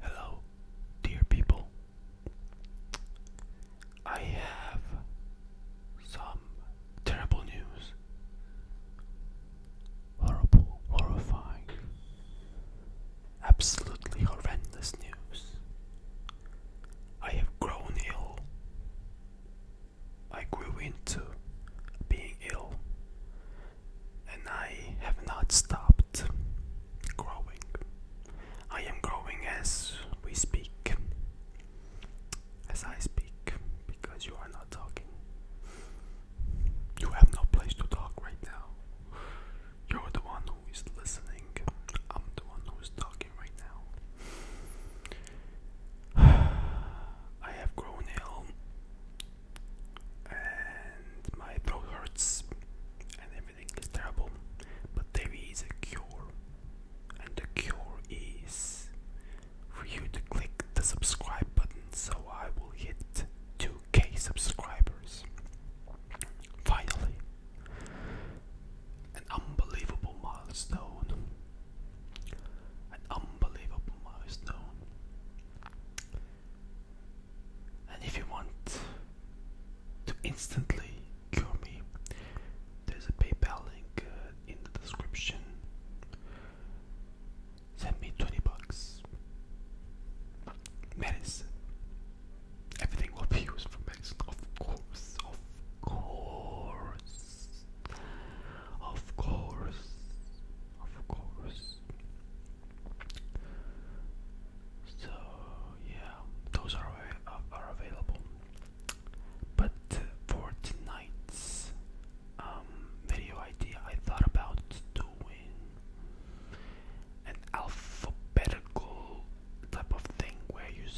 Hello, dear people. I have some terrible news. Horrible, horrifying, absolutely horrendous news. I have grown ill. I grew into being ill and I have not stopped growing. I am growing as we speak, as I speak, because you are not talking. You have no place to talk right now. You're the one who is listening, I'm the one who is talking right now. I have grown ill and my throat hurts and everything is terrible. But there is a cure, and the cure is for you to click the subscribe button so I will hit 2k subscribers. Finally, an unbelievable milestone. An unbelievable milestone. And if you want to instantly cure me, there's a PayPal link uh, in the description. Send me 20 bucks. Medicine. Everything will be used for medicine, of course, of course, of course, of course. So yeah, those are uh, are available. But for tonight's um, video idea, I thought about doing an alphabetical type of thing where you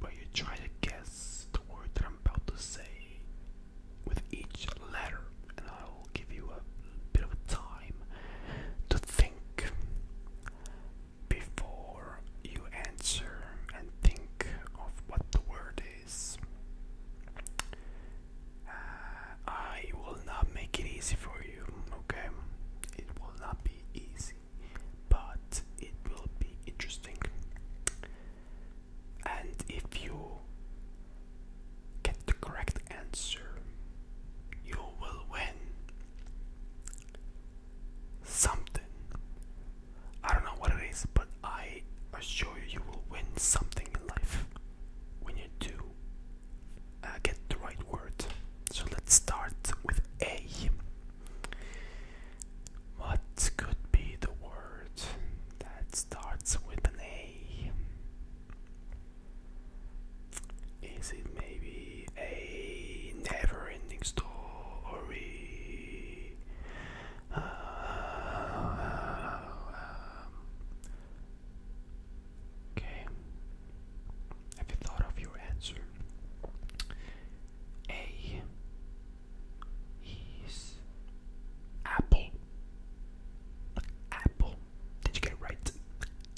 where you try to guess the word that I'm about to say with each letter, will give you a bit of time to think before you answer and think of what the word is. Uh, I will not make it easy for you, okay? It will not be easy, but it will be interesting. And if you get the correct answer, you will win something. I don't know what it is, but I assure you, you will win something in life when you do uh, get the right word. So let's start with A. What could be the word that starts with an A? Is it maybe a never ending story? Uh, okay. Have you thought of your answer? A is apple. Apple. Did you get right?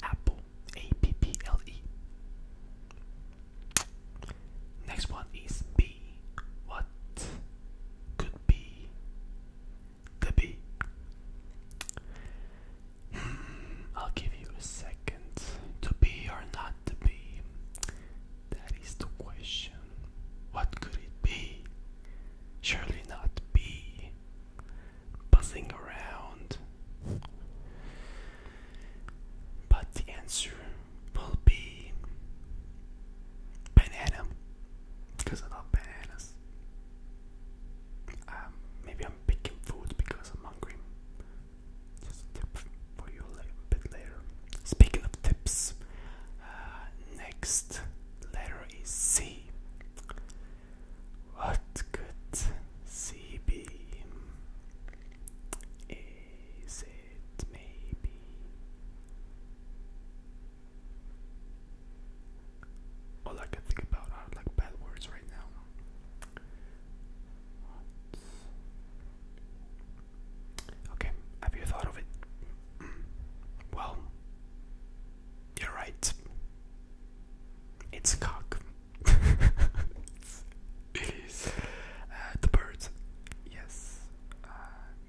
Apple. A-P-P-L-E. Next one is B. What could be the B? Hmm, I'll give you a second. To be or not to be? That is the question. What could it be? Surely not B buzzing around. But the answer will be banana, because I love bananas. Um, maybe I'm picking food because I'm hungry. Just tip for you a bit later. Speaking of tips, uh, next letter C. What could C be? Is maybe all I can think about are like bad words right now? Okay, have you thought of it? well, you're right. It's a cock. it is. Uh, the bird. Yes. Uh,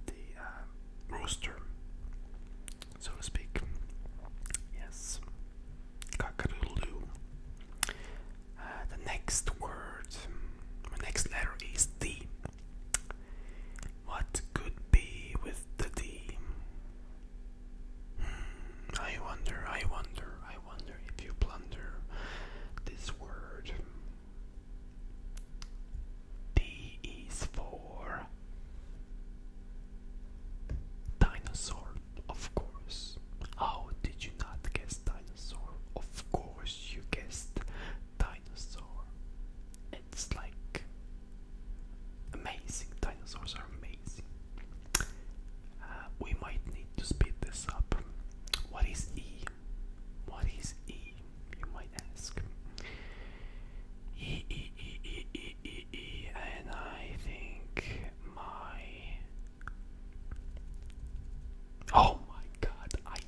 the uh, rooster. So to speak. Yes. Cock-a-doodle-doo. the next word, the next letter is D. What could be with the D? Hmm, wonder, I wonder, I wonder if you plunder this word. D is for dinosaur, of course. How did you not guess dinosaur? Of course you guessed dinosaur it's like amazing. Dinosaurs are amazing. Uh, we might need to speed this up. What is E? What is E? You might ask. E, E, E, E, E, E, E, and I think my. Oh my god, I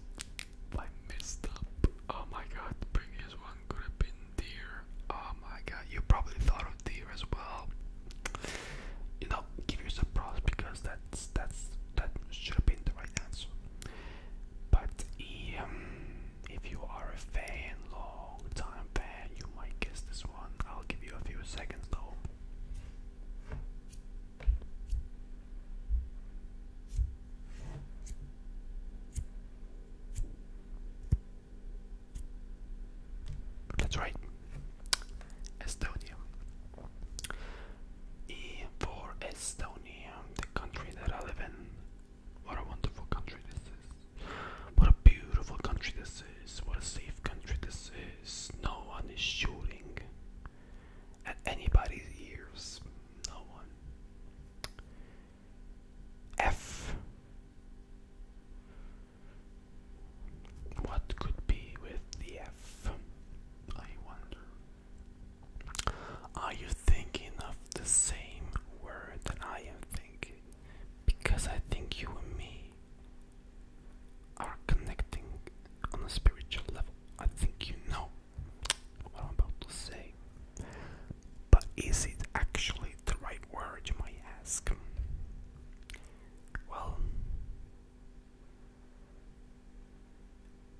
I messed up. Oh my god, previous one could have deer. Oh my god, you probably thought of deer as well. You know, give yourself props because that's that's that should have been the right answer. But um, if you are a fan, long time fan, you might guess this one. I'll give you a few seconds though. That's right. Estonia. E for Estonia, the country that I live in. What a wonderful country this is. What a beautiful country this is. What a safe country this is. No one is shooting at anybody's ears. No one. F. What could be with the F? I wonder. Are you thinking of the same word that I am thinking? Because I think you and me are connecting on a spiritual level. I think you know what I'm about to say. But is it actually the right word, you might ask? Well,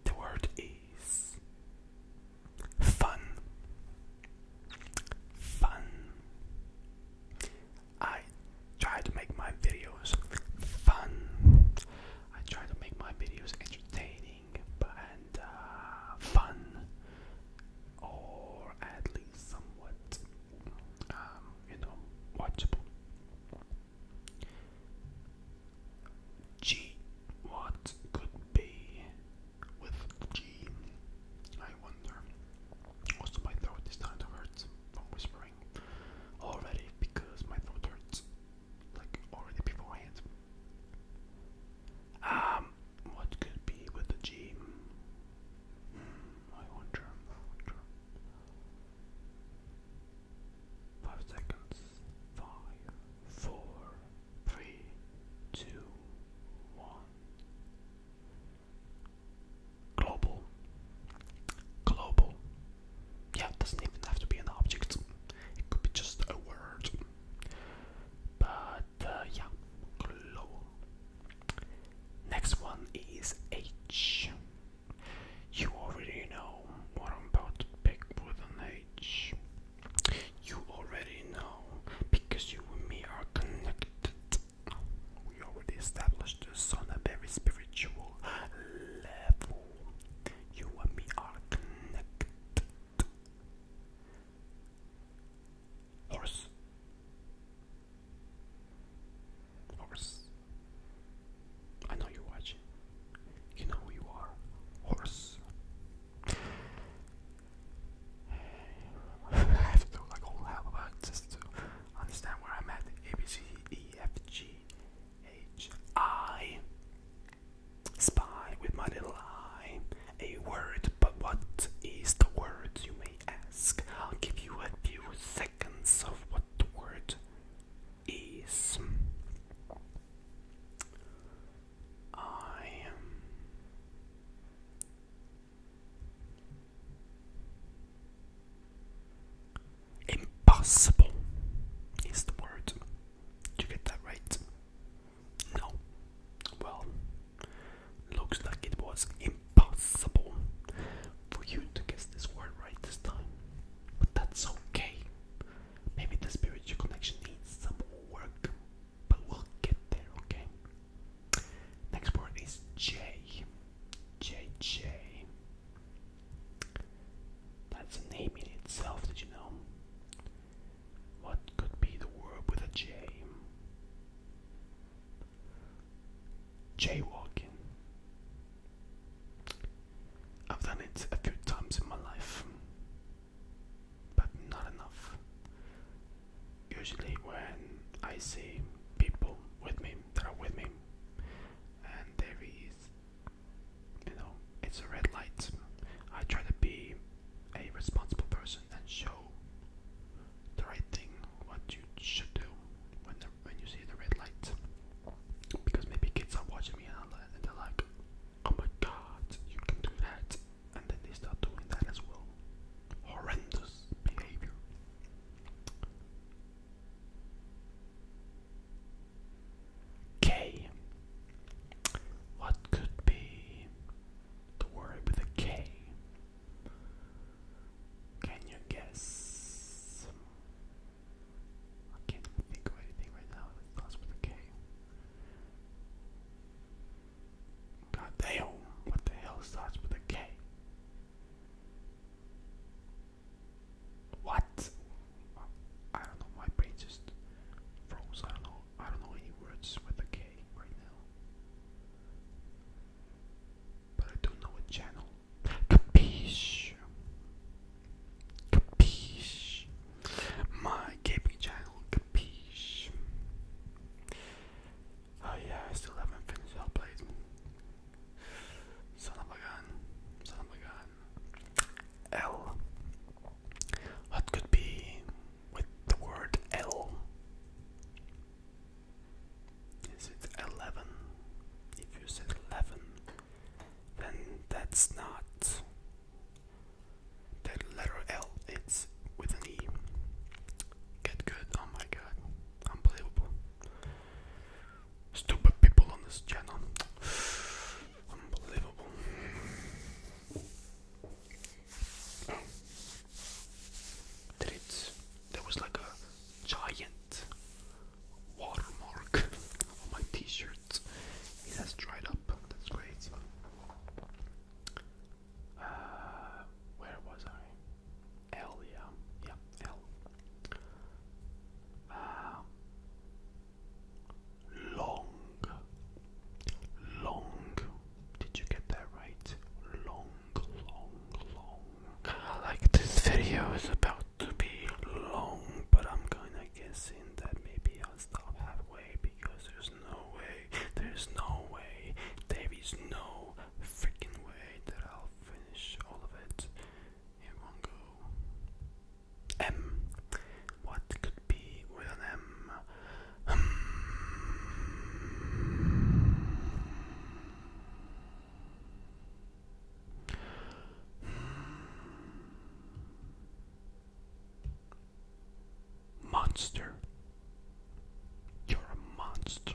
the word is fun. Fun. I try to make my videos fun. I try to make my videos entertaining and uh, fun, or at least somewhat, um, you know, watchable. G, what could be with G? I wonder. Also, my throat is starting to hurt from whispering already because my throat hurts, like already beforehand. Um, what could be with the G? Hmm, wonder. Five seconds. Five, four, three, two, one. Global. Global. Yeah, it doesn't even have to be an object. It could be just a word. But uh, yeah, Next one is H. You already know what I'm about to pick with an H. You already know because you and me are connected. We already established this on a very spiritual level. You and me are connected. Horse. Horse. I know you're watching. You know who you are. Horse. I have to like a whole alphabet understand where I'm at. A B C D E F G H I Spy with my little eye. A word, but what is the word, you may ask? I'll give you a few seconds of what the word is. I am. Impossible is the word. Did you get that right? No. Well, looks like it was impossible for you to guess this word right this time. But that's okay. Maybe the spiritual connection needs some work, but we'll get there, okay? Next word is J. J J. That's a name in itself, did you know? What could be the word with a J? Jaywalking. I've done it a few times in my life, but not enough. Usually, when I see people with me that are with me, and there is you know, it's a red light. I try to be a responsible person and show the right thing, what you should do when when you see the red light. Because maybe kids are watching me and they're like, "Oh my God, you can do that," and then they start doing that as well. Horrendous behavior. K. What could be the word with a K? Can you guess? I can't think of anything right now that starts with a K. God what the hell starts with a K? What? I don't know. My brain just froze. I don't know. I don't know any words with a K right now. But I do know a channel. Capiche. Capiche. My gaming channel. Capiche. Oh yeah, I still haven't finished Hellblade. Son of a gun. Son of a gun. L. What could be with the word L? Is it 11? If you said 11, then that's not that letter L, it's with an E. Get good, oh my god, unbelievable. Stupid people on this channel. Unbelievable. Oh. There was like a giant watermark on my T-shirt. It has dried up. That's great. Uh, where was I? L, yeah, yeah, L. Uh, long, long. Did you get that right? Long, long, long. Like this video is about to be long, but I'm gonna guess in that maybe I'll stop halfway because there's no way, there's no way, there is no freaking way that I'll finish all of it. M. What could be with an M? Hmm. Monster. You're a monster.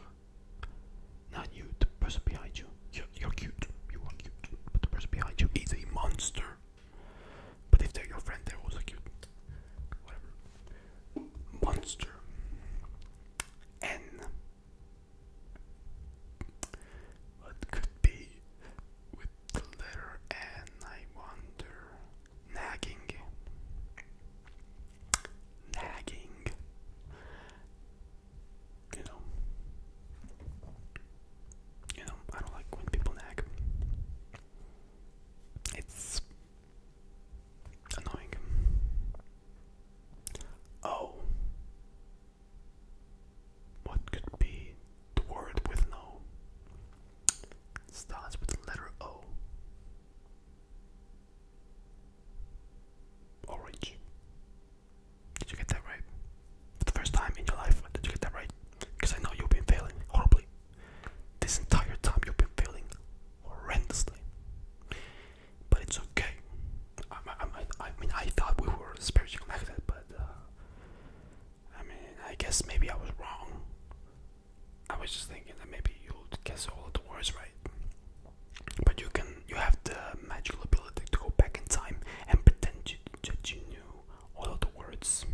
Not you, the person behind you. you're cute. You are cute. But the person behind you is a monster. But if they're your friend, they're also cute. Whatever. Monster. N. What could be with the letter N, I wonder? Nagging. Nagging you know, you know, I don't like when people nag. It's annoying. Oh, what could be the word with no? It starts with the letter O. Orange. Did you get that right? For the first time in your life, did you get that right? Because I know you've been failing horribly. This entire time you've been failing horrendously. But it's okay. I, mean, I thought we were spiritually connected, but uh, I mean, I guess maybe I was wrong. I was just thinking that maybe you would guess all the words right. But you can, you have the magical ability to go back in time and pretend you, that you knew all of the words.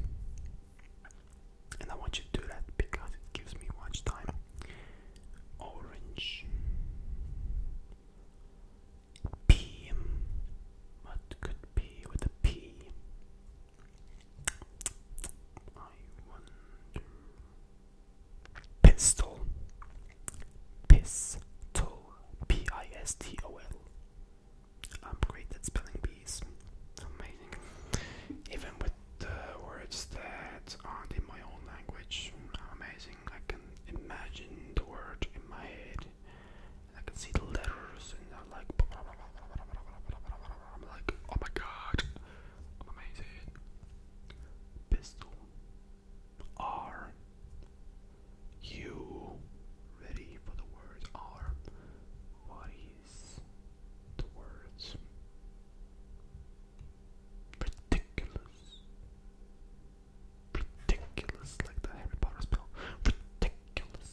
And I want you to do that because it gives me much time. Orange. P. What could be with a P? I wonder. Pistol. Pistol. P I S T O L. I'm great at spelling bees. Amazing. Even with words that aren't in my own language, amazing. I can imagine the word in my head. I can see the letters and I'm like, I'm like, oh my god, amazing. Pistol. Are you ready for the word are? What is the words? Ridiculous. Ridiculous, like the Harry Potter spell. Ridiculous.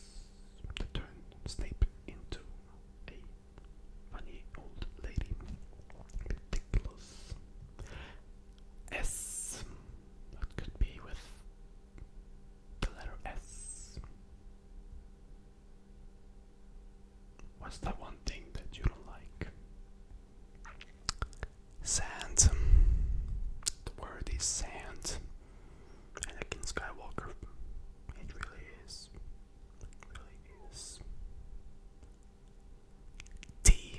To turn Snape into a funny old lady. Ridiculous. S what could be with the letter S? What's that one thing that you don't like? Sand. The word is sand. Anakin Skywalker. It really is. really is. T.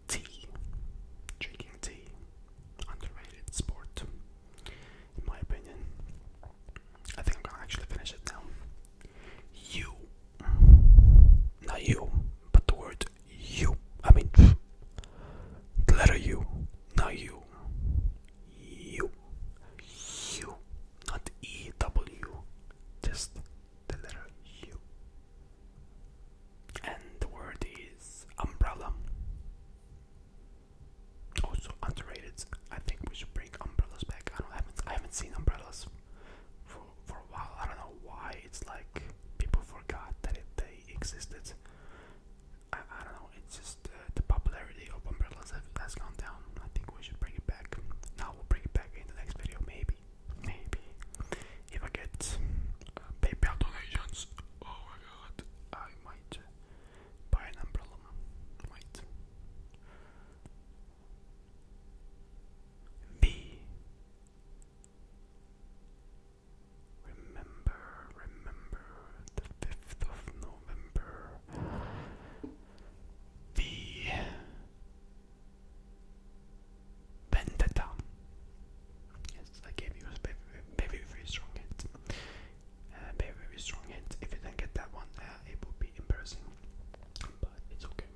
tea. Drinking tea, underrated sport, in my opinion. I think I'm gonna actually finish it now. You, not you, but the word you. I mean, the letter U, not you. You, you, not E W, just the letter U and the word is umbrella. Also underrated. I think we should bring umbrellas back. I don't I haven't I haven't seen umbrellas for for a while. I don't know why. It's like people forgot that they existed. I, I don't know. It's just uh, the popularity of umbrellas has, has gone down. I think we should bring it back. Now we'll bring it back in the next video, maybe maybe if I get uh, PayPal donations, oh my god, I might uh, buy an umbrella. Might. B. Remember, remember the 5th of November. V. Vendetta. Yes, I gave you a very, very, very strong hint. Uh, very, very strong hint. If you didn't get that one, uh, it would be embarrassing. But it's okay.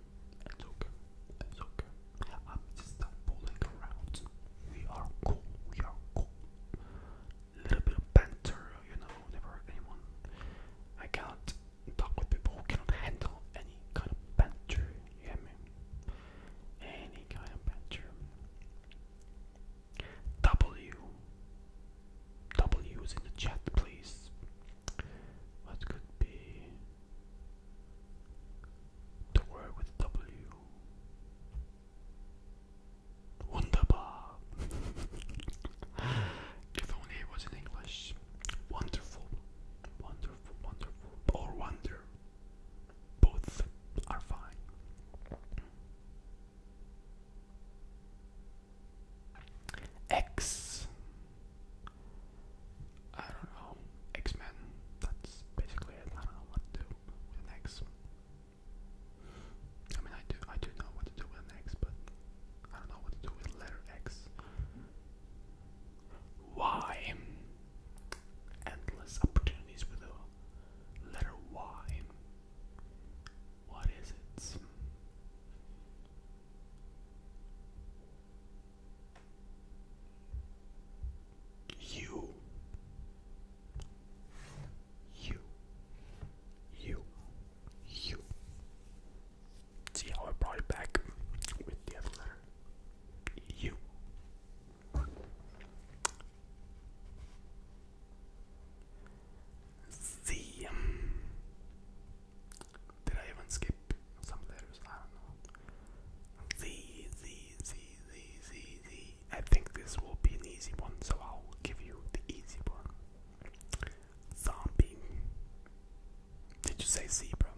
It's okay. It's okay. I'm just not fooling around. We are cool. We are cool. Little bit of banter, you know. Never hurt anyone. I cannot talk with people who cannot handle any kind of banter. You hear me? any kind of bedroom. W. W's in the chat, please. What could be the word with W? Wunderbar. if only it was in English. Wonderful. Wonderful, wonderful. Or wonder. Both are fine. X. I don't know. X Men. That's basically I don't know what to do with X. I mean, I do. I do know what to do with X, but I don't know what to do with letter X. Why? Endless opportunities with a letter Y. What is it? You. You. You. You. See how I brought it back with the other you. Um, did I even skip some letters? I don't know. Z, Z, Z, Z, Z, Z. I think this will be an easy one, so I'll give you the easy one. Zombie. Did you say zebra?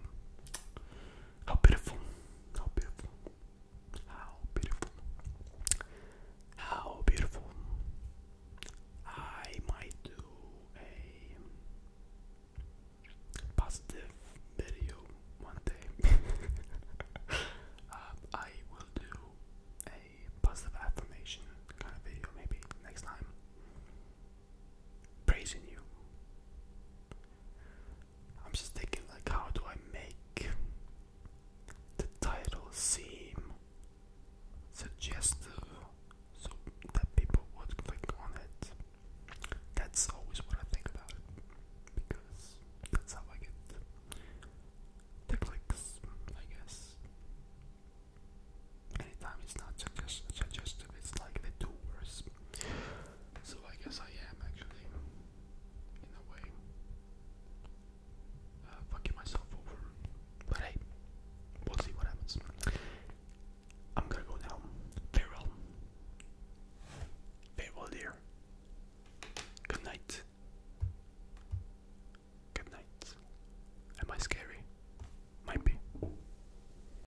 How beautiful. How beautiful. How beautiful. How beautiful. I might do a positive video one day. Um, I will do a positive affirmation kind of video maybe next time praising you. I'm just thinking like how do I make the title seem suggestive so that people would click on it. That's always what I think about because that's how I get clicks, I guess. Anytime it's not suggestive, it's like they do worse. So I guess I am actually, in a way, uh, fucking myself over. But hey, we'll see what happens. I'm gonna go now. Farewell. Farewell, dear. Good night. Good night. Am I scary? Might be.